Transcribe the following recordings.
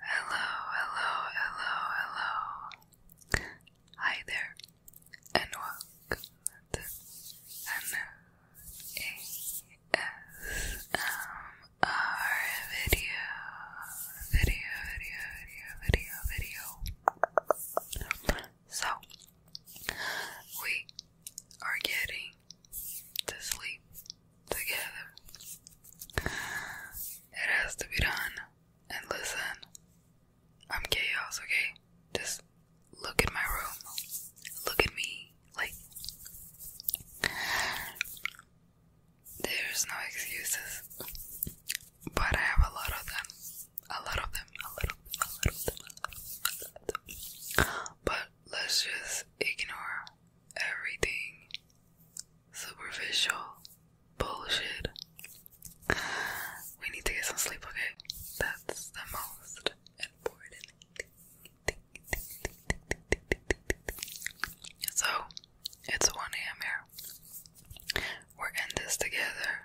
hello, hello, hello. Hi there, and welcome to an ASMR video video, video, video, video, video. So, we are getting to sleep together. It has to be done. And listen, I'm chaos, okay? Just look at my room. Look at me. Like, there's no excuses, but I have a lot of them. A lot of them, a lot of them, a lot of them, a lot of them. A lot of them. But let's just ignore everything superficial bullshit. We need to get some sleep, okay? That's the most important thing. So, it's 1 a.m. here. We're in this together.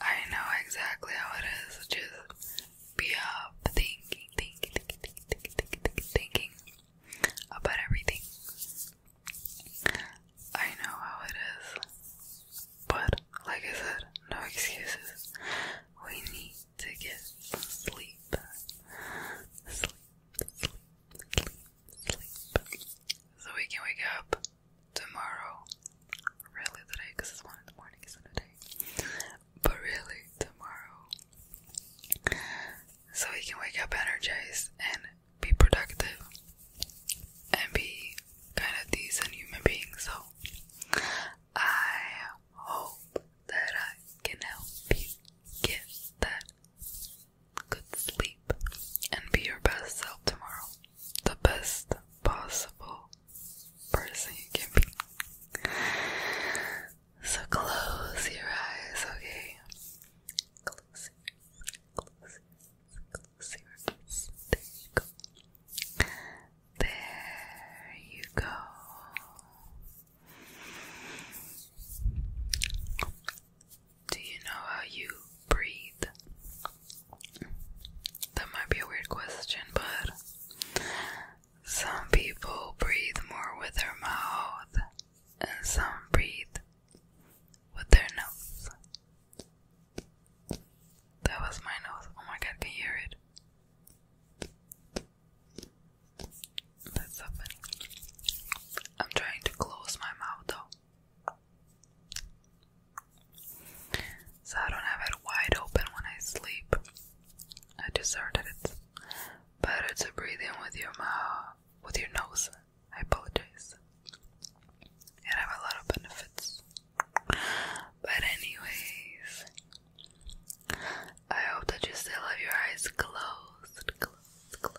I know exactly how it is. Just be up thinking, thinking, thinking, thinking, thinking, thinking, about everything. I know how it is. But, like I said, no excuses. We need to get some sleep. Sleep, sleep, sleep, sleep so we can wake up tomorrow. Really today, because it's one in the morning, isn't it? But really tomorrow, so we can wake up energized and be productive and be kind of decent human beings. So I hope that I can help you get that Good sleep and be your best self tomorrow. The best possible person you can be. So close your eyes, okay? Close your eyes. Close There you go. There you go. Do you know how you breathe? That might be a weird question, but some people breathe more with their mouth, and some breathe with their nose. That was my nose. Oh my god, can you hear it? That's so funny. I'm trying to close my mouth though. So I don't have it wide open when I sleep. I just heard that better to breathe in with your mouth with your nose. I apologize. It have a lot of benefits. But anyways, I hope that you still have your eyes closed, closed, closed.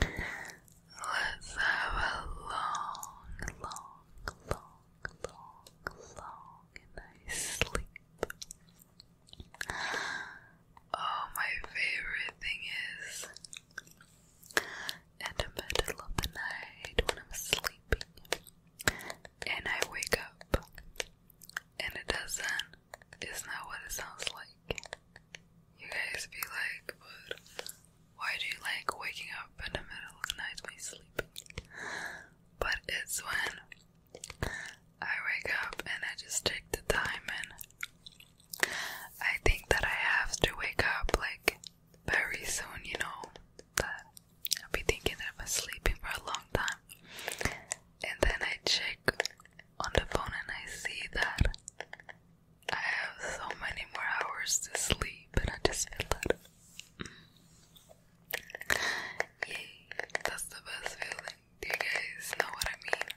Let's have a long, long, long, long, long, nice sleep. Oh, my favorite thing is in the middle of the night when I'm sleeping and I wake up and it doesn't it's not what it sounds like. You guys be like, but why do you like waking up in the middle of the night when you sleep? But it's when I wake up and I just take the time and I think that I have to wake up like very soon, you know, that I'll be thinking that I've been sleeping for a long time. And then I check on the phone and I see that I have so many more hours to sleep and I just feel that mm. Yay, that's the best feeling. Do you guys know what I mean?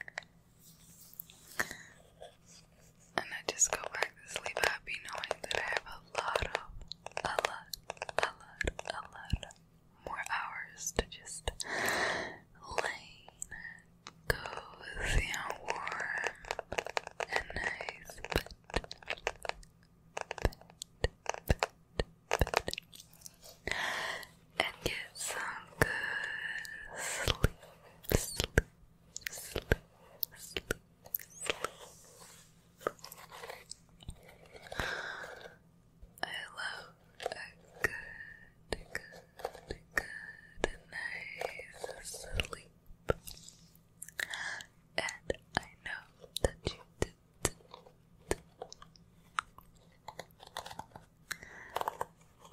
And I just go back to sleep happy knowing that I have a lot of a lot, a lot, a lot more hours to just lay cozy and warm and nice And get some good sleep. I love a good, good, good night's sleep. And I know that you did.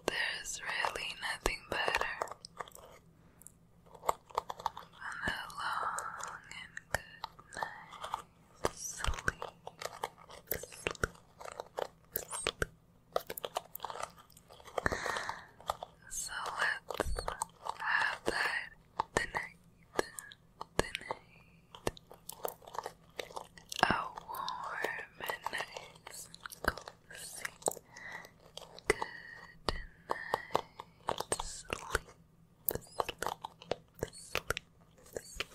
There's really nothing better than a long and good night sleep, sleep, sleep. So let's have that tonight, tonight. A warm and nice and Good night, sleep, sleep, sleep. Just feel the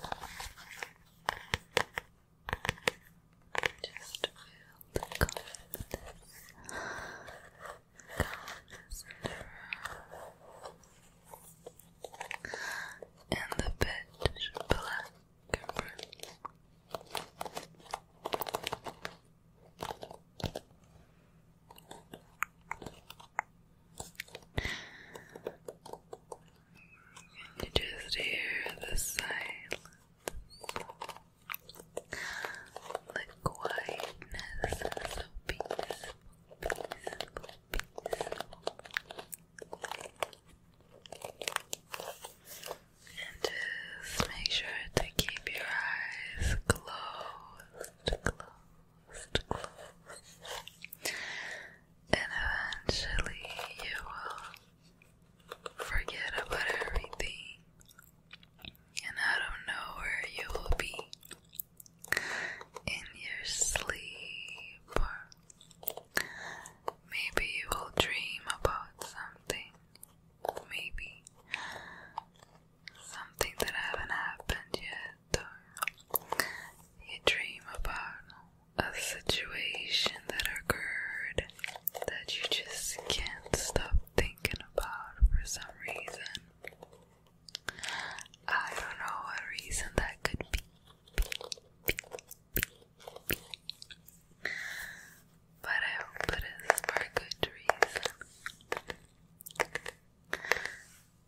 calmness, calmness and the pitch black you just hear the silence, the quietness, so peaceful, just make sure to keep your eyes closed, closed, closed. And eventually you will forget about everything. And out of nowhere you will be in your sleep. Maybe you will dream about something. Maybe Something that haven't happened yet, or you dream about a situation that occurred that you just can't stop thinking about for some reason. I don't know what reason that could be but I hope for a good reason.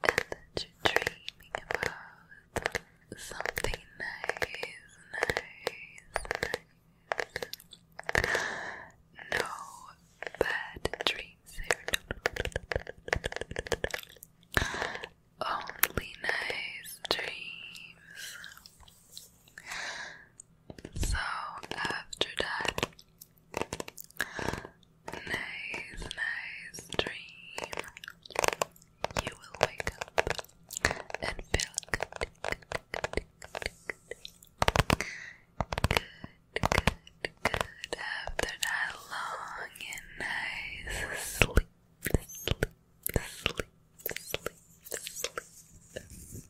And that you're about something nice, nice, nice. No bad dreams here. Only nice dreams. So after that, nice, nice dream. You will wake up and feel good. Good, good, good, good after that long and nice sleep, sleep, sleep, sleep, sleep.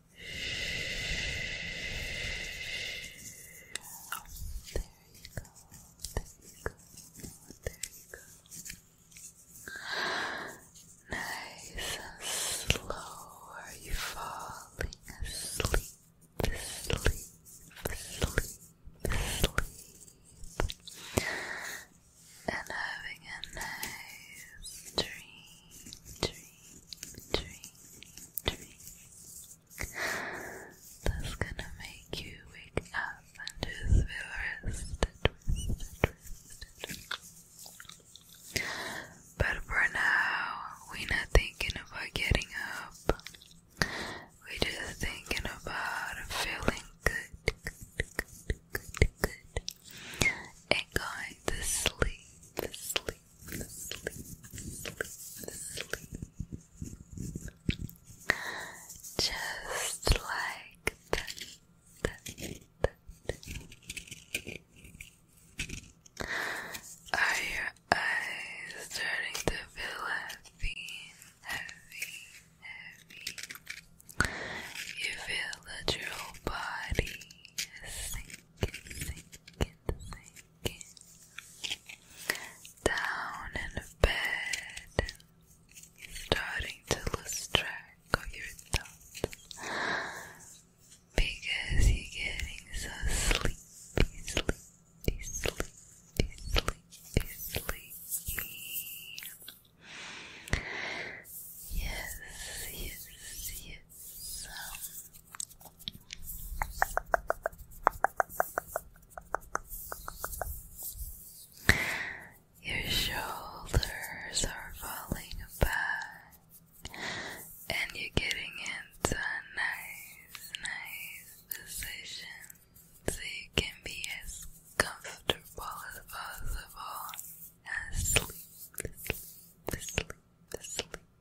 go. Nice and slow. Are you falling asleep? Sleep, sleep, sleep. And having a nice dream. That's gonna make you wake up and just feel rested, But for now, we're not thinking about getting up. We're just thinking about feeling good, good, and going to sleep, sleep, just like that. Are your eyes starting to feel heavy, heavy, heavy? You feel that your whole body is sinking, down in bed, starting to lose track of your thoughts because you're getting so sleepy, sleepy, sleepy, sleepy, sleepy. Yes, yes, yes. Your shoulders are falling back, and you're getting into a nice, nice position so you can be as comfortable as possible and sleep, sleep, sleep, sleep,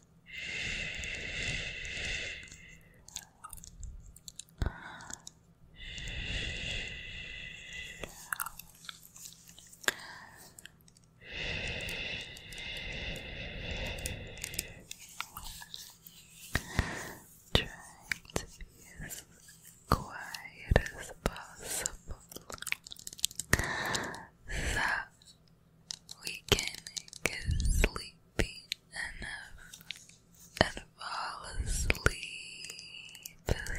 Trying to be as quiet as possible. So we can get sleepy enough and fall asleep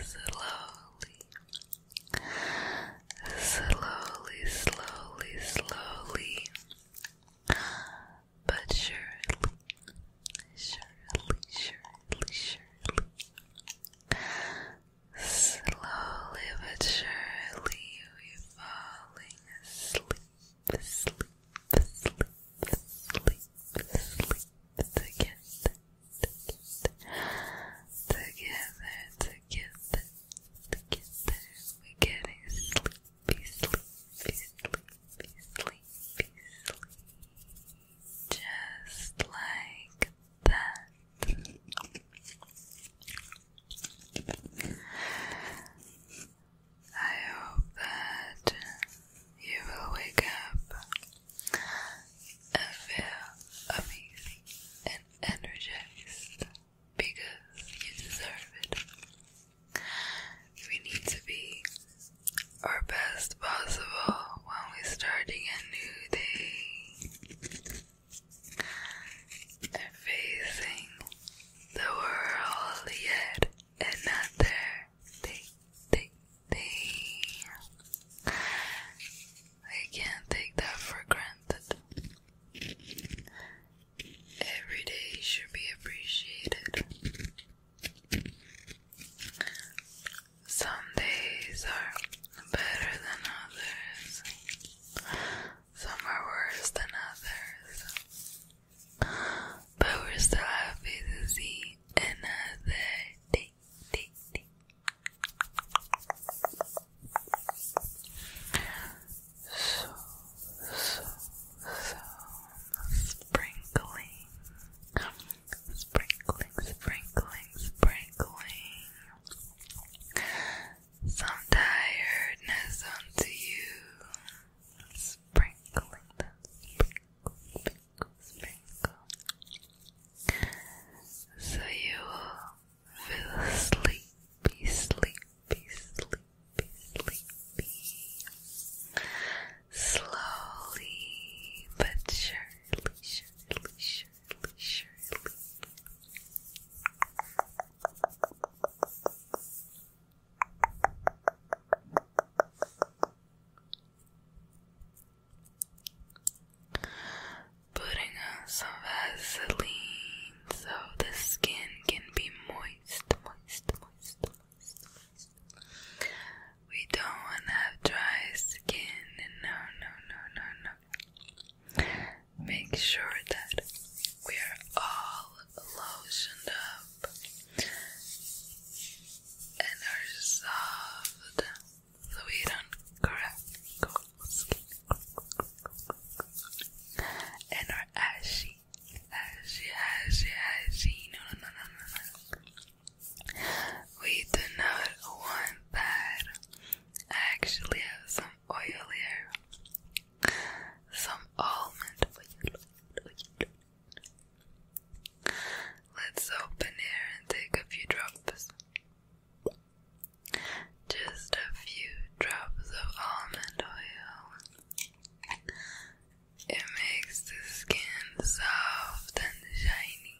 slowly. Slowly, slowly, slowly. But surely, surely, surely, surely. Slowly but surely, we're falling asleep sleep, sleep, sleep, sleep together, together, together, together. We're sleepy, sleepy, sleepy, sleepy, sleepy. Just like that. I hope that you will wake up and feel amazing and energized because you deserve it. We need to be our best possible when we're starting a new day. They're facing the world, yet another thing, thing, thing. I can't take that for granted. Every day should be appreciated. Some days are better than others. Some are worse than others. But we're still happy to see another day. day, day. So, so, so sprinkling, sprinkling, sprinkling, sprinkling some tiredness onto you, sprinkling them, sprinkle, sprinkle, sprinkle, so you will feel sleepy, sleepy, sleepy, sleepy. Slowly but surely, surely, surely, surely. Putting on some Vaseline so the skin can be moist, moist, moist, We don't want to have dry skin. No, no, no, no, no. Make sure that we're all lotioned up and are soft so we don't crack and are ashy, ashy, ashy, ashy. No, no, no, no, no, We do not want that. I actually have some oil here. Some almond for Let's open here and take a few drops. Just a few drops of almond oil. It makes the skin soft and shiny.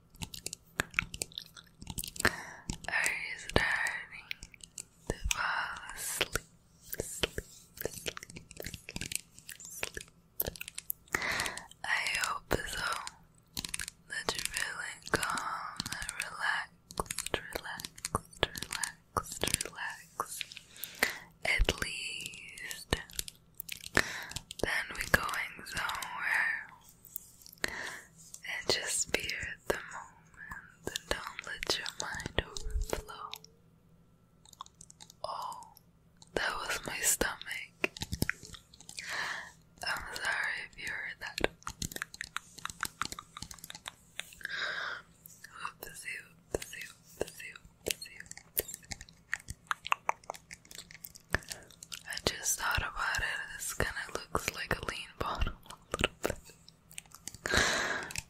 Are you starting to fall asleep? I hope so that you're calm and relaxed, relaxed, relaxed, At least. Then we're going somewhere and just be here at the moment and don't let your mind overflow. Oh, that was my stomach. I'm sorry if you heard that. Oopsie, oopsie, oopsie, oopsie, oopsie. I just thought about it. This kind of looks like a lean bottle a little bit.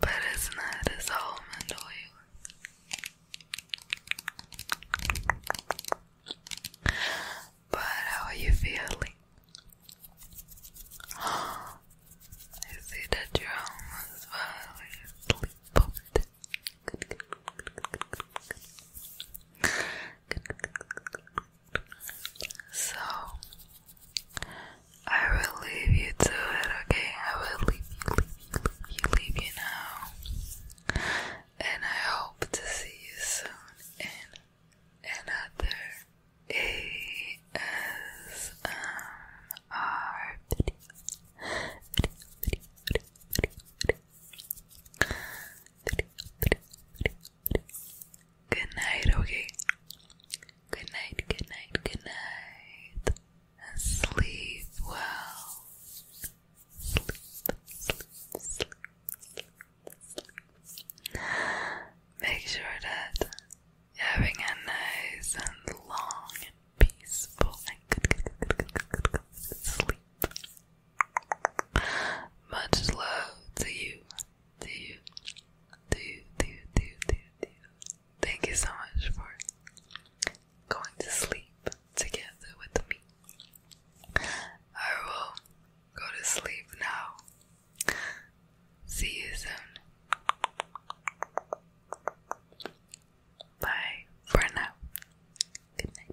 But it's not. It's almond oil. But how are you feeling? I see that you're almost falling so I will leave you to it, okay? I will leave you, leave you, leave you now. And I hope to see you soon in another ASMR video. video, video, video, video, video, video, video, video, video, video, Good night, okay? Good night, good night, good night. And sleep well. Make sure that having a nice and long and peaceful and good, good, good, good, good, good, good sleep. Much love to you, to you, to you, to you, to you, to you, Thank you so much for going to sleep together with me. I will go to sleep now. See you soon. Bye for now. Good night.